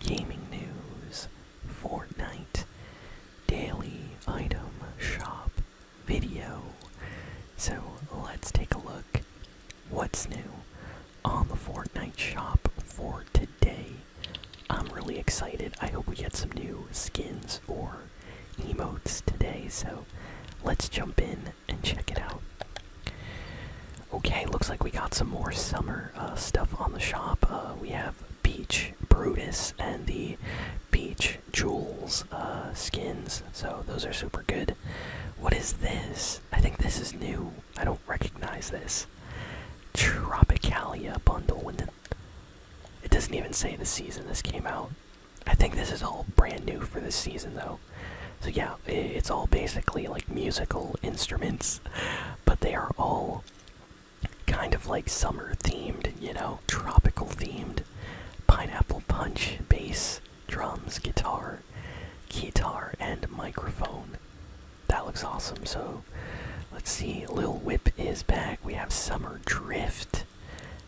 gaming news, Fortnite, daily item shop video. So let's take a look what's new on the Fortnite shop for today. I'm really excited. I hope we get some new skins or emotes today. So let's jump in and check it out. Okay, looks like we got some more summer uh, stuff on the shop. Uh, we have Peach Brutus and the Peach Jewels uh, skins, so those are super good. What is this? I think this is new. I don't recognize this. Tropicalia bundle. When it doesn't even say the season this came out. I think this is all brand new for this season, though. So yeah, it's all basically like musical instruments, but they are all kind of like summer themed, you know, tropical themed. Pineapple punch, bass, drums, guitar, guitar, and microphone. That looks awesome. So let's see. Lil Whip is back. We have Summer Drift.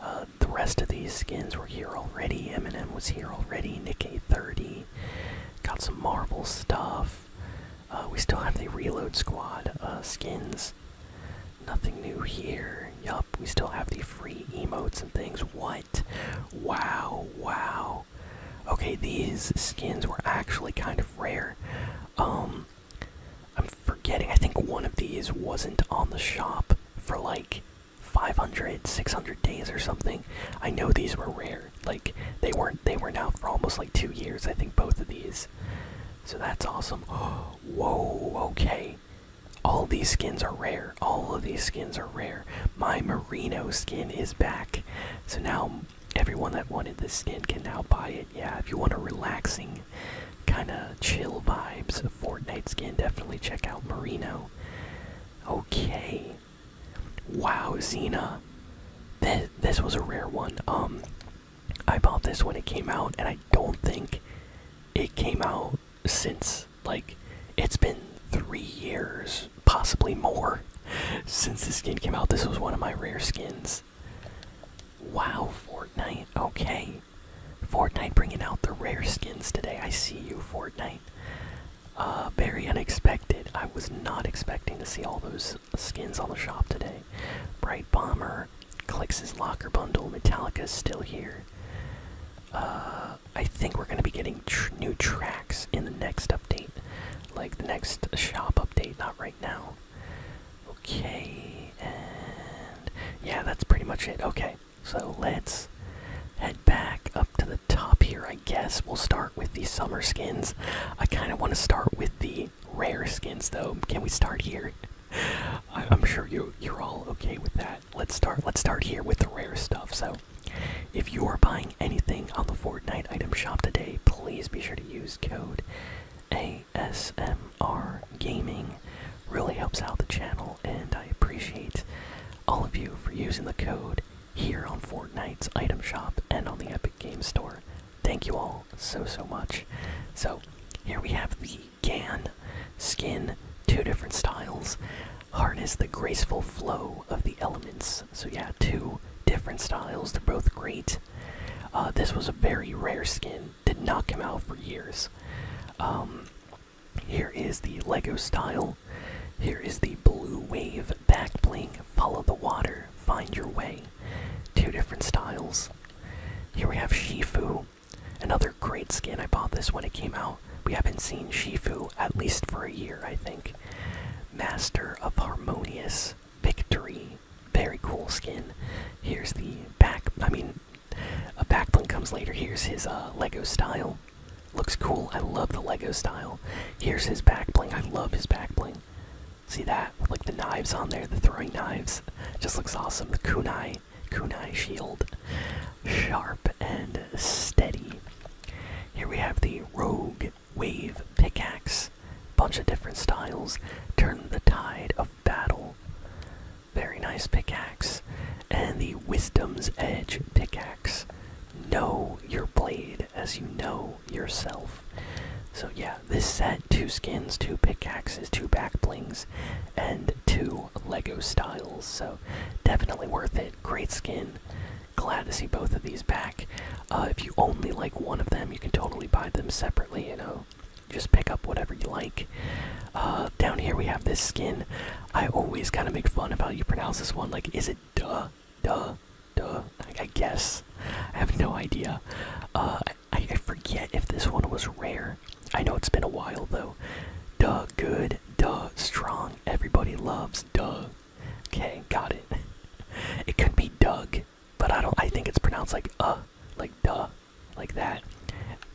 Uh, the rest of these skins were here already. Eminem was here already. Nick 30 Got some Marvel stuff. Uh, we still have the Reload Squad uh, skins. Nothing new here. Yup, we still have the free emotes and things. What? Wow, wow. Okay, these skins were actually kind of rare. Um, I'm forgetting, I think one of these wasn't on the shop for like 500, 600 days or something. I know these were rare. Like they weren't they were now for almost like two years, I think both of these. So that's awesome. whoa, okay. All these skins are rare. All of these skins are rare. My merino skin is back. So now everyone that wanted this skin can now buy it. Yeah, if you want a relaxing kind of chill vibes of Fortnite skin, definitely check out merino. Okay. Wow, Xena uh, this was a rare one. Um, I bought this when it came out, and I don't think it came out since like it's been three years, possibly more, since this skin came out. This was one of my rare skins. Wow, Fortnite. Okay. Fortnite bringing out the rare skins today. I see you, Fortnite. Uh, very unexpected. I was not expecting to see all those skins on the shop today. Bright Bomber, Clicks his Locker Bundle, Metallica's still here. Uh, I think we're going to be getting new tracks in the next update, like the next shop update, not right now. Okay, and yeah, that's pretty much it. Okay, so let's head back up to the top here, I guess. We'll start with the summer skins. I kind of want to start with the rare skins though. Can we start here? I'm sure you you're all okay with that. Let's start let's start here with the rare stuff. So if you are buying anything on the Fortnite item shop today, please be sure to use code ASMR Gaming. Really helps out the channel and I appreciate all of you for using the code here on Fortnite's item shop and on the Epic Games Store. Thank you all so so much. So here we have the Gan skin, two different styles. Harness the graceful flow of the elements. So yeah, two different styles. They're both great. Uh, this was a very rare skin. Did not knock him out for years. Um, here is the Lego style. Here is the blue wave back bling. Follow the Water, Find Your Way. Two different styles. Here we have Shifu, another great skin. I bought this when it came out. We haven't seen Shifu at least for a year, I think. Master of Harmonious Victory. Very cool skin. Here's the back, I mean, a backlink comes later. Here's his uh, Lego style. Looks cool. I love the Lego style. Here's his back bling. I love his back bling. See that? like the knives on there, the throwing knives. Just looks awesome. The kunai, kunai shield. Sharp and steady. Here we have the rogue wave pickaxe. Bunch of different styles. Turn the tide of battle. Very nice pickaxe. And the wisdom's edge pickaxe. Know your blade as you know yourself. So, yeah, this set two skins, two pickaxes, two back blings, and two Lego styles. So definitely worth it. Great skin. Glad to see both of these back. Uh, if you only like one of them, you can totally buy them separately. You know, just pick up whatever you like. Uh, down here we have this skin. I always kind of make fun of how you pronounce this one like, is it duh, duh, Duh. I guess. I have no idea. Uh, I, I forget if this one was rare. I know it's been a while though. Duh, good. Duh, strong. Everybody loves. Duh. Okay, got it. It could be Doug, but I don't. I think it's pronounced like uh, like duh, like that.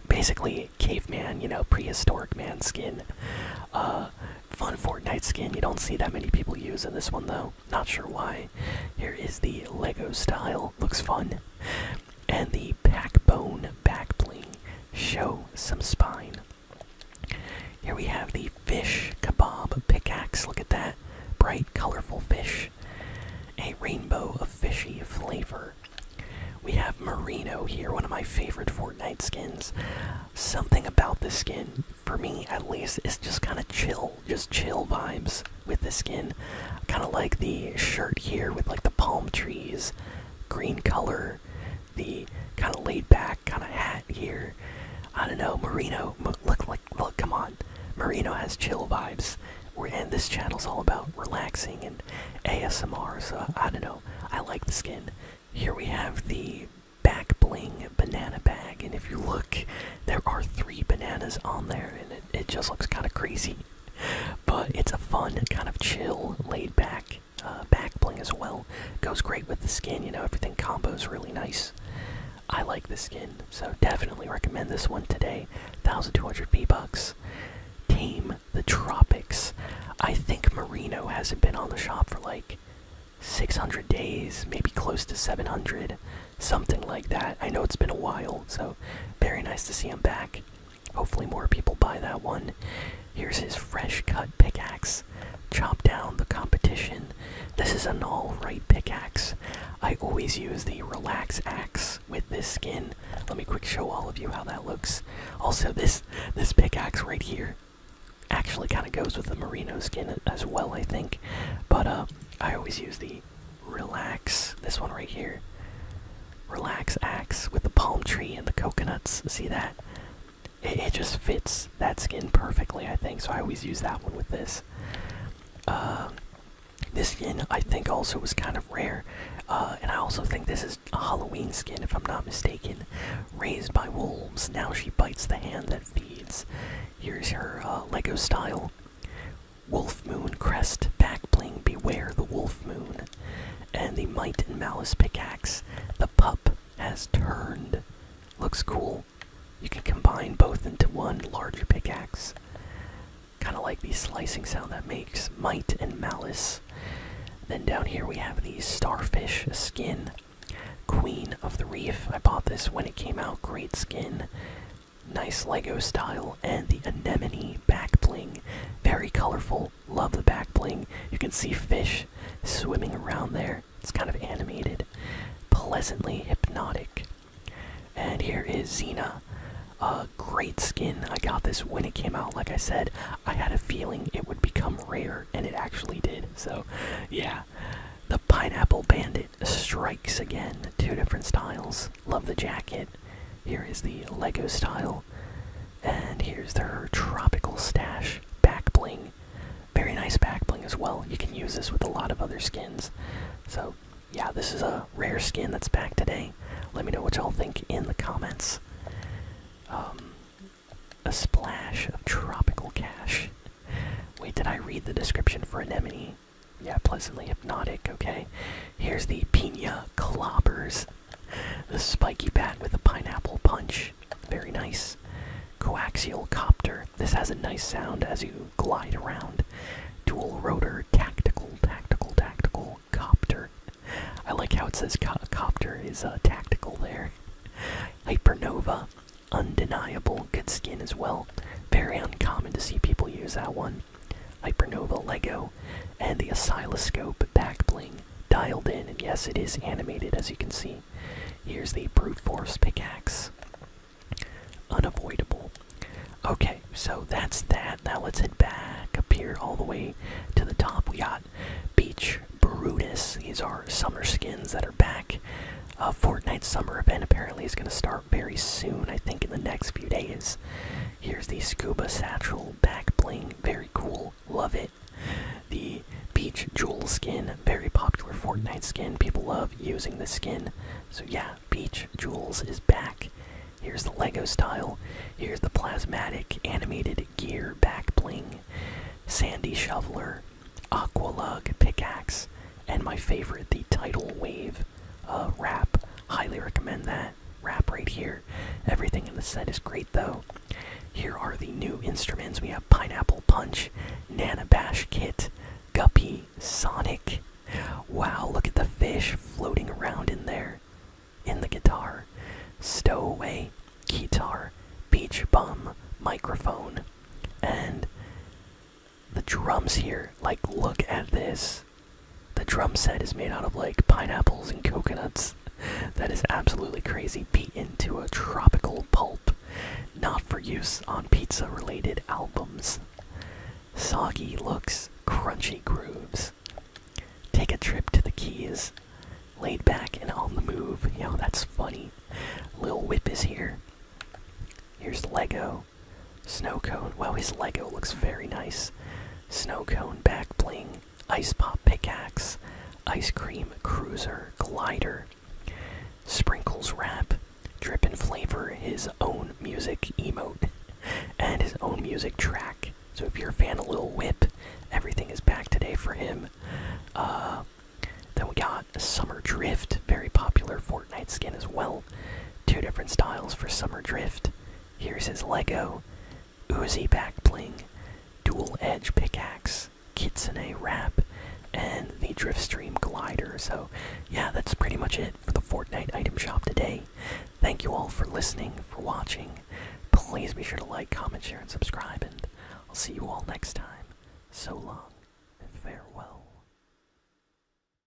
Basically, caveman. You know, prehistoric man skin. Uh, fun Fortnite skin. You don't see that many people use in this one though. Not sure why. Here is the Lego style. Looks fun. And the backbone backbling. Show some spine. Here we have the fish kebab pickaxe. Look at that. Bright, colorful fish. A rainbow of fishy flavor. We have Merino here, one of my favorite Fortnite skins. Something about this skin, for me at least, is just kind of chill just chill vibes with the skin. kind of like the shirt here with like the palm trees, green color, the kind of laid back kind of hat here. I don't know, Merino. Look, like, look, come on. Merino has chill vibes. We're, and this channel is all about relaxing and ASMR, so I don't know. I like the skin. Here we have the back bling banana bag, and if you look, there are three bananas on there, and it, it just looks kind of crazy. But it's a fun, kind of chill, laid back uh, back bling as well. Goes great with the skin, you know, everything combos really nice. I like the skin, so definitely recommend this one today. 1200 V-Bucks. Tame the Tropics. I think Marino hasn't been on the shop for like 600 days, maybe close to 700 something like that. I know it's been a while, so very nice to see him back. Hopefully, more people buy that one. Here's his fresh cut pickaxe. Chop down the competition. This is an alright pickaxe. I always use the relax axe with this skin. Let me quick show all of you how that looks. Also, this this pickaxe right here actually kind of goes with the merino skin as well, I think. But uh, I always use the Relax. This one right here. Relax axe with the palm tree and the coconuts. See that? It, just fits that skin perfectly, I think. So I always use that one with this. Um, this skin, I think, also was kind of rare. Uh, and I also think this is a Halloween skin, if I'm not mistaken. Raised by wolves. Now she bites the hand that feeds. Here's her uh, Lego style. Wolf Moon Crest, Back Bling, Beware the Wolf Moon, and the Might and Malice pickaxe. The pup has turned. Looks cool. You can combine both into one larger pickaxe. Kind of like the slicing sound that makes Might and Malice. Then down here we have the Starfish skin. Queen of the Reef. I bought this when it came out. Great skin nice Lego style, and the anemone back bling. Very colorful. Love the back bling. You can see fish swimming around there. It's kind of animated, pleasantly hypnotic. And here is Xena. a great skin. I got this when it came out. Like I said, I had a feeling it would become rare, and it actually did. So, yeah. The Pineapple Bandit strikes again. Two different styles. Love the jacket. Here is the Lego style. And here's their tropical stash back bling. Very nice back bling as well. You can use this with a lot of other skins. So, yeah, this is a rare skin that's back today. Let me know what y'all think in the comments. Um, a splash of tropical cash. Wait, did I read the description for Anemone? yeah, pleasantly hypnotic, okay? Here's the Pina Clobbers. The spiky bat with a pineapple punch. Very nice. Coaxial copter. This has a nice sound as you glide around. Dual rotor tactical, tactical, tactical copter. I like how it says copter is uh, tactical there. Hypernova. Undeniable. Good skin as well. Very uncommon to see people use that one. Hypernova Lego, and the oscilloscope back bling dialed in. And yes, it is animated as you can see. Here's the brute force pickaxe. Unavoidable. Okay, so that's that. Now let's head back up here all the way to the top. We got Beach Brutus. These are summer skins that are back. A uh, Fortnite summer event apparently is going to start very soon, I think, in the next few days. Here's the Scuba Satchel Back Bling. Very cool. Love it. The Beach Jewel skin. Very popular Fortnite skin. People love using the skin. So, yeah, Beach Jewels is back. Here's the Lego style. Here's the Plasmatic Animated Gear Back Bling. Sandy Shoveler. aqua lug Pickaxe. And my favorite, the Tidal Wave wrap. Uh, Highly recommend that wrap right here. Everything in the set is great though. Here are the new instruments. We have Pineapple Punch, nanabash Kit, Guppy, Sonic. Wow, look at the fish floating around in there. In the guitar. Stowaway, guitar, beach bum, microphone, and the drums here like look at this the drum set is made out of like pineapples and coconuts that is absolutely crazy beat into a tropical pulp not for use on pizza related albums soggy looks crunchy grooves take a trip to the keys laid back and on the move you that's funny lil whip is here here's lego Lego. Snow cone. Wow, his Lego looks very nice. Snow cone, back bling, ice pop pickaxe, ice cream cruiser, glider, sprinkles wrap, drip and flavor, his own music emote, and his own music track. So if you're a fan of Lil Whip, everything is back today for him. Uh, then we got Summer Drift, very popular for Fortnite skin as well. Two different styles for Summer Drift. Here's his Lego, Uzi back bling, dual edge pickaxe, Kitsune wrap, and the Driftstream glider. So, yeah, that's pretty much it for the Fortnite item shop today. Thank you all for listening, for watching. Please be sure to like, comment, share, and subscribe, and I'll see you all next time. So long, and farewell.